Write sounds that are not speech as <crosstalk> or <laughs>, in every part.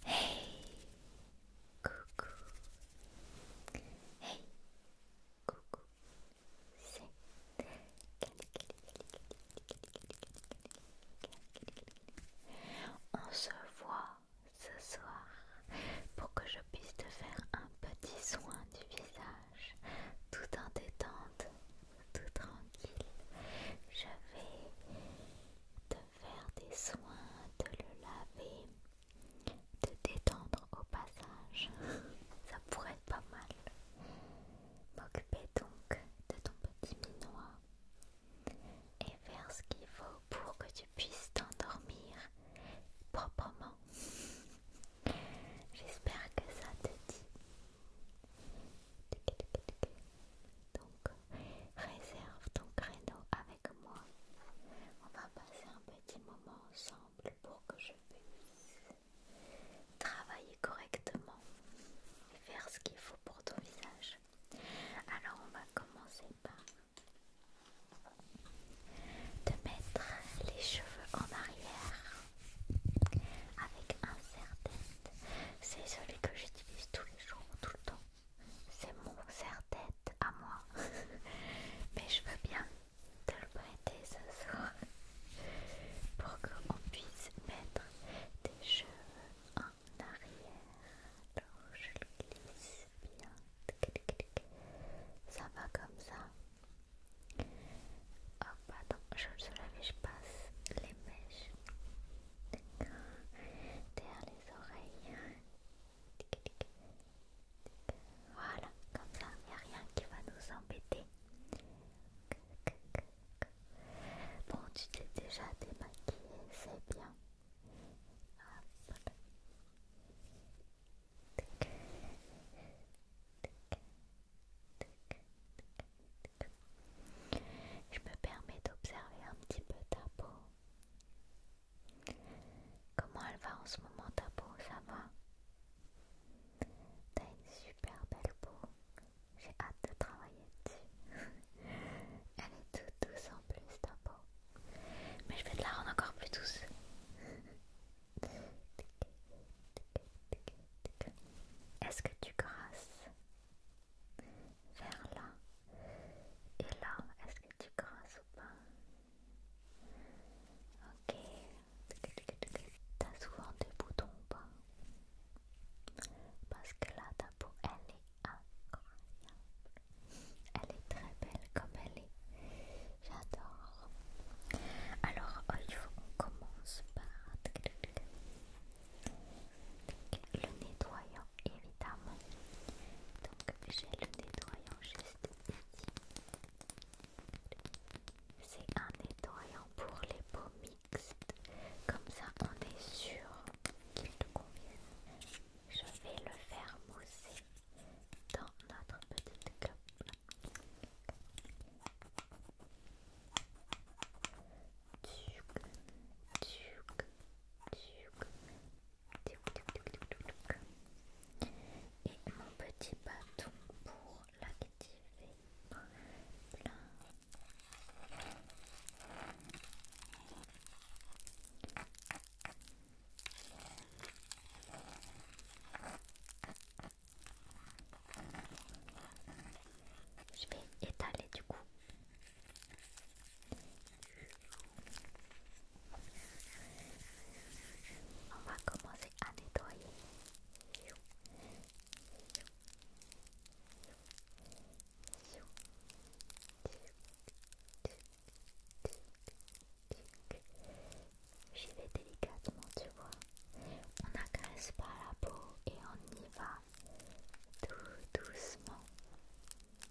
Hey Coucou Hey Coucou C'est On se voit ce soir pour que je puisse te faire un petit soin du visage tout en détente, tout tranquille. Je vais faire des soins, de le laver, de détendre au passage. <laughs> Ça pourrait être pas mal. M'occuper donc de ton petit minois et faire ce qu'il faut pour que tu puisses t'endormir proprement. <laughs> J'espère que ça te dit. Donc, réserve ton créneau avec moi. On va passer un petit moment ensemble pour que je puisse travailler correctement et faire ce qu'il faut pour ton visage. Alors, on va commencer par te mettre les cheveux en arrière avec un serre-tête, C'est celui que j'utilise tous les jours, tout le temps c'est mon serre-tête à moi. <laughs> Mais je veux bien te le prêter ce soir <laughs> pour qu'on puisse mettre tes cheveux en arrière. Alors je le glisse bien. Ça va comme ça. hop pardon, je le soulève et je passe les mèches derrière les oreilles. Voilà, comme ça, il n'y a rien qui va nous embêter. Bon, tu t'es déjà démaquillée, c'est bien. Je me permets d'observer un petit peu ta peau. Comment elle va en ce moment ta peau Ça va T'as une super belle peau. J'ai hâte de travailler dessus. <laughs> elle est toute douce en plus ta peau. Mais je vais te la rendre encore plus douce. <laughs> Est-ce que tu grasses vers là. Et là, est-ce que tu grosses ou pas Ok. T'as souvent des boutons ou pas Parce que là, ta peau, elle est incroyable. Elle est très belle comme elle est. J'adore. Alors, il faut qu'on commence par le nettoyant évidemment donc j'ai le nettoyant juste ici c'est un nettoyant pour les peaux mixtes comme ça on est sûr qu'il te convienne je vais le faire mousser dans notre petite cup duc, duc. Et mon petit bâton pour l'activer. Je vais étaler du coup on va commencer à nettoyer. J'y vais délicatement, tu vois. On n'agresse pas la peau et on y va tout doucement.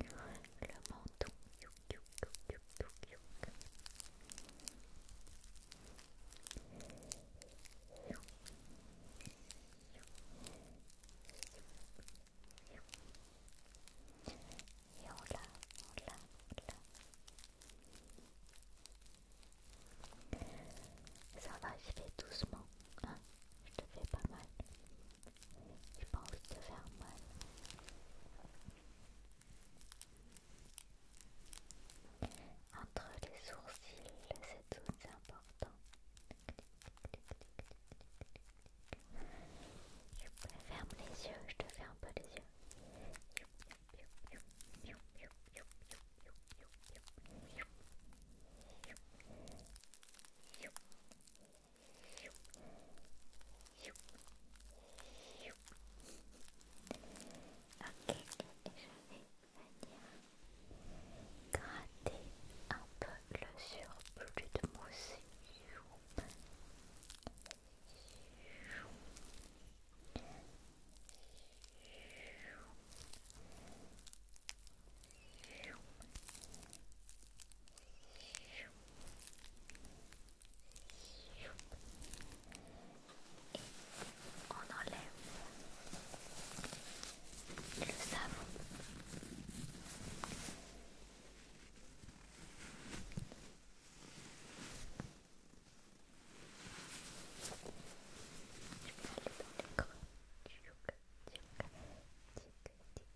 le menton et on on Ça va, j'y vais doucement, je te fais pas mal. J'ai pas envie de te faire mal. Entre les sourcils, cette zone c'est important. Ferme les yeux, je te fais un peu les yeux. Ok, je vais venir gratter un peu le surplus de mousse on enlève le savon je vais aller dans les creux. Tic, tic, tic,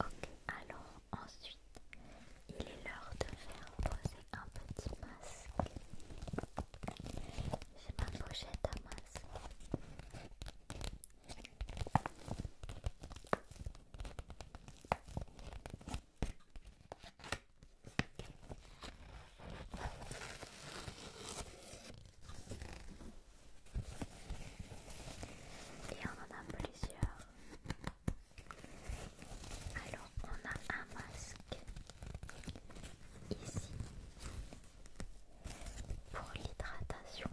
Ok, alors ensuite, il est l'heure de faire poser un petit masque. J'ai ma pochette à masque. Et on en a plusieurs. Alors on a un masque ici pour l'hydratation.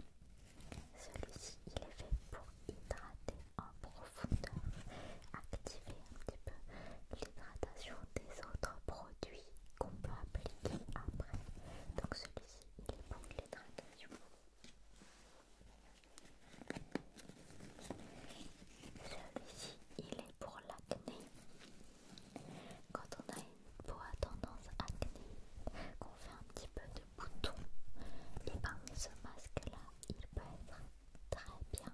Celui-ci il est fait pour hydrater en profondeur, activer un petit peu l'hydratation des autres produits qu'on peut appliquer après. Donc celui-ci il est pour l'hydratation. Celui-ci, il est pour l'acné. Quand on a une peau à tendance acné, qu'on fait un petit peu de boutons, et eh ben, ce masque-là, il peut être très bien.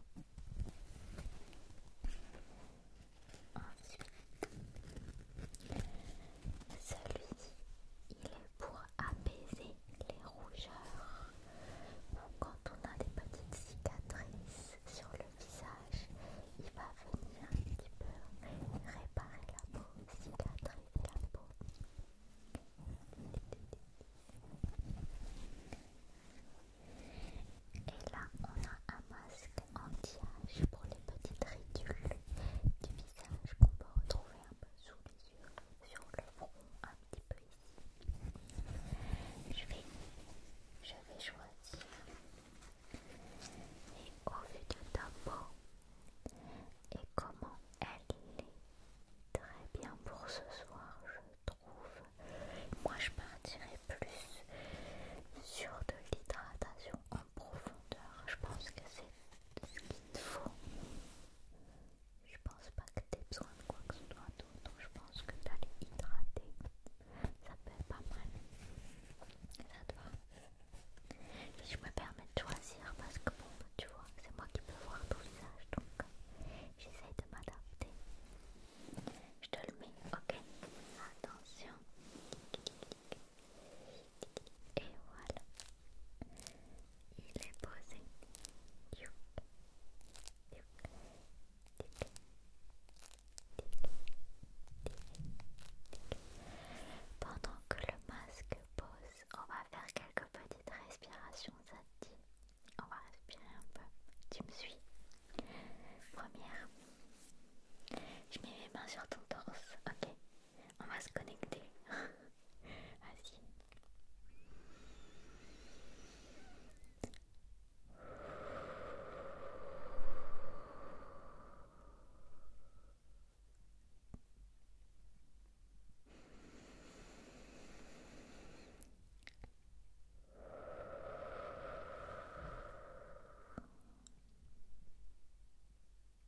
Celui-ci, il est pour apaiser les rougeurs quand on a des petites cicatrices sur le visage, il va venir un petit peu réparer la peau, cicatriser la peau. Et là, on a un masque anti-âge pour les petites ridules du visage visage qu'on va retrouver un peu sous les yeux, sur le front, un petit peu ici. Je vais, je vais choisir. Et au vu de ta peau et comment elle est très bien pour ce soir, je trouve. Moi, je partirais plus sur de l'hydratation profondeur. Je pense que c'est ce qu'il te faut. Je pense pas que tu aies besoin de quoi que ce soit d'autre. Je pense que t'allais hydrater, ça peut être pas mal. Ça te je me permets de choisir parce que bon, tu vois, c'est moi qui peux voir ton visage donc j'essaye de m'adapter. Je te le mets, ok Attention. Et voilà, il est posé. Pendant que le masque pose, on va faire quelques petites respirations. Ça te dit On va respirer un peu. Tu me suis Première, je mets mes mains sur ton torse, ok on va se connecter. <laughs>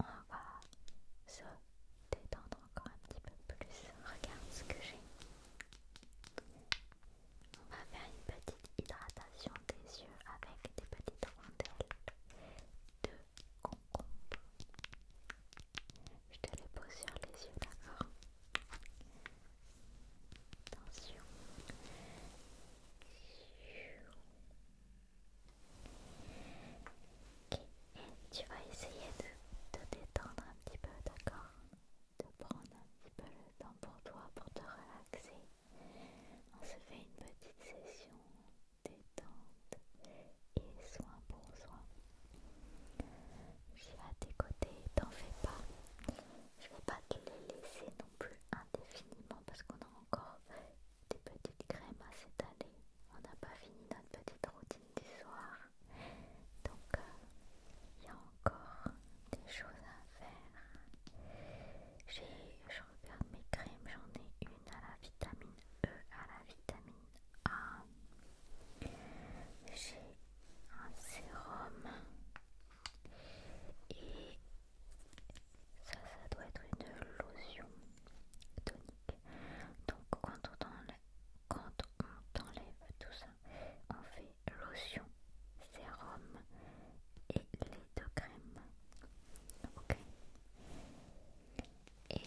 On va se détendre encore un petit peu plus. Regarde ce que j'ai. On va faire une petite hydratation des yeux avec des petites rondelles de concombre. Je te les pose sur les yeux, d'accord Attention et Tu vas essayer de te détendre un petit peu, d'accord De prendre un petit peu le temps pour toi, pour te relaxer. On se fait une petite session détente et soin pour soin. Je vais à tes côtés, t'en fais pas. Je vais pas te les laisser non plus indéfiniment parce qu'on a encore des petites crèmes à s'étaler. On n'a pas fini notre petite routine du soir. Donc, euh, il y a encore des choses à faire. J'ai, je regarde mes crèmes, j'en ai une à la vitamine E, à la vitamine A. J'ai un sérum et ça, ça doit être une lotion tonique. Donc quand on enlève, quand on tout ça, on fait lotion, sérum et les deux crème, Ok. Et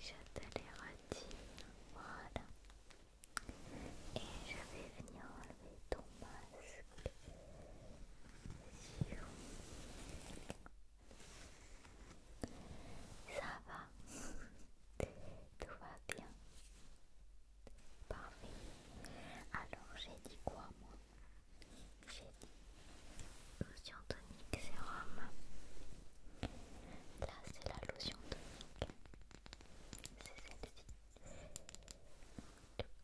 j'attelératine. Voilà. Et je vais venir enlever ton masque. Ça va, <laughs> tout va bien. Parfait. Alors j'ai dit quoi moi J'ai dit lotion tonique sérum. Là c'est la lotion tonique. C'est celle-ci.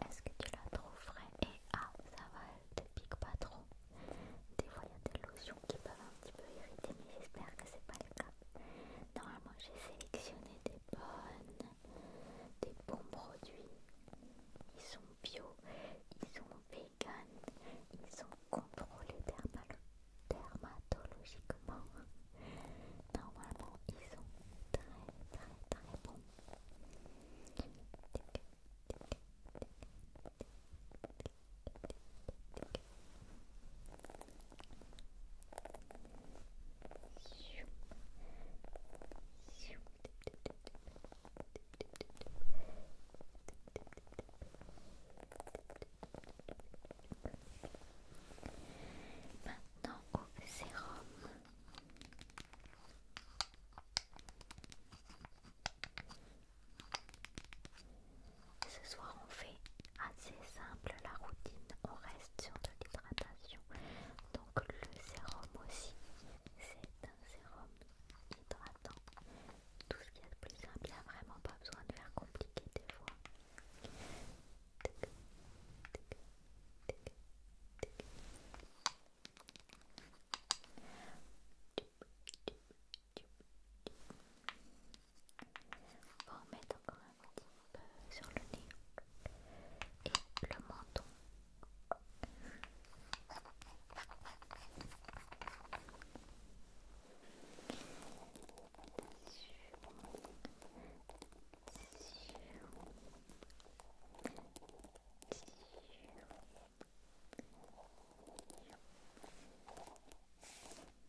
Est-ce que tu la trouves frais Et ah, ça va, elle te pique pas trop. Des fois, il y a des lotions qui peuvent un petit peu irriter, mais j'espère que c'est pas le cas. Normalement, j'ai sélectionné des bonnes, des bons produits. Ils sont bio, ils sont vegan, ils sont contrôlés dermatologiquement. Normalement, ils sont très très très bons. Maintenant au sérum. Ce soir on fait assez simple la routine, on reste sur de l'hydratation. Donc le sérum aussi, c'est un sérum hydratant. Tout ce qu'il y a de plus simple, il n'y a vraiment pas besoin de faire compliqué des fois. On met encore un petit peu sur le nez et le menton.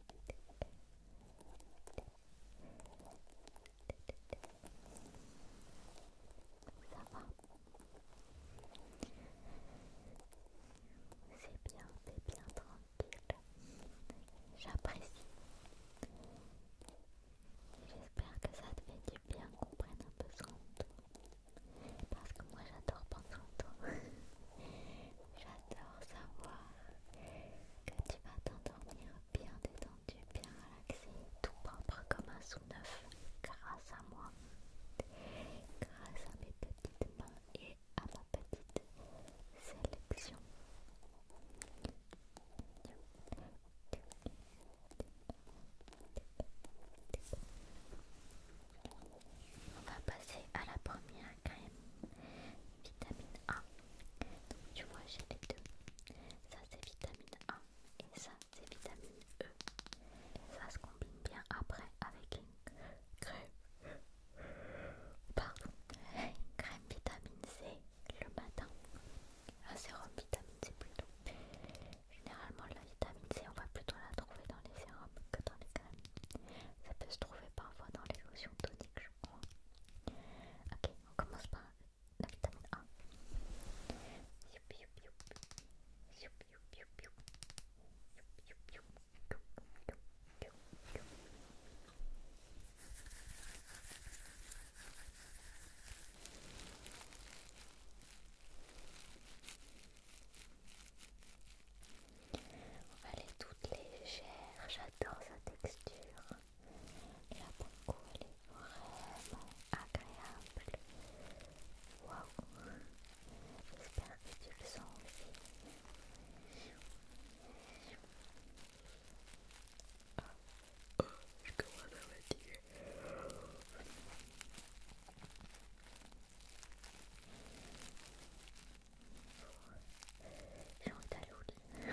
Ça C'est bien, c'est bien tranquille. J'apprécie. J'espère que ça te fait du bien qu'on prenne un peu son tour, Parce que moi j'adore prendre à toi. <laughs> savoir que tu vas t'endormir bien détendu, bien relaxé, tout propre comme un sous neuf grâce à moi, grâce à mes petites mains et à ma petite sélection. On va passer à la première crème vitamine A. Donc tu vois, j'ai les deux. Ça c'est vitamine A et ça c'est vitamine E. Ça se combine bien après avec une crème. Pardon, crème vitamine C le matin. Un sérum vitamine C plutôt. Généralement la vitamine C on va plutôt la trouver dans les sérums que dans les Ça peut se trouver parfois dans les lotions toniques, je crois. Ok, on commence par la vitamine A. Elle est toute légère, j'adore sa texture. La coup, elle est vraiment agréable. Waouh! J'espère que tu le sens aussi. oh, je commence à m'attirer. J'ai envie d'aller au lit.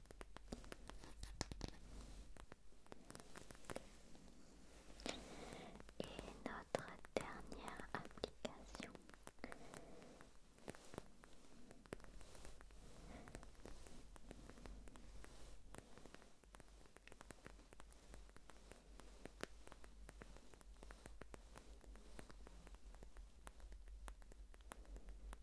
Et notre dernière application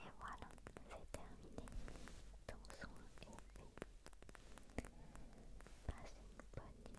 Et voilà, c'est terminé. Ton soin est fait. Passe une bonne nuit.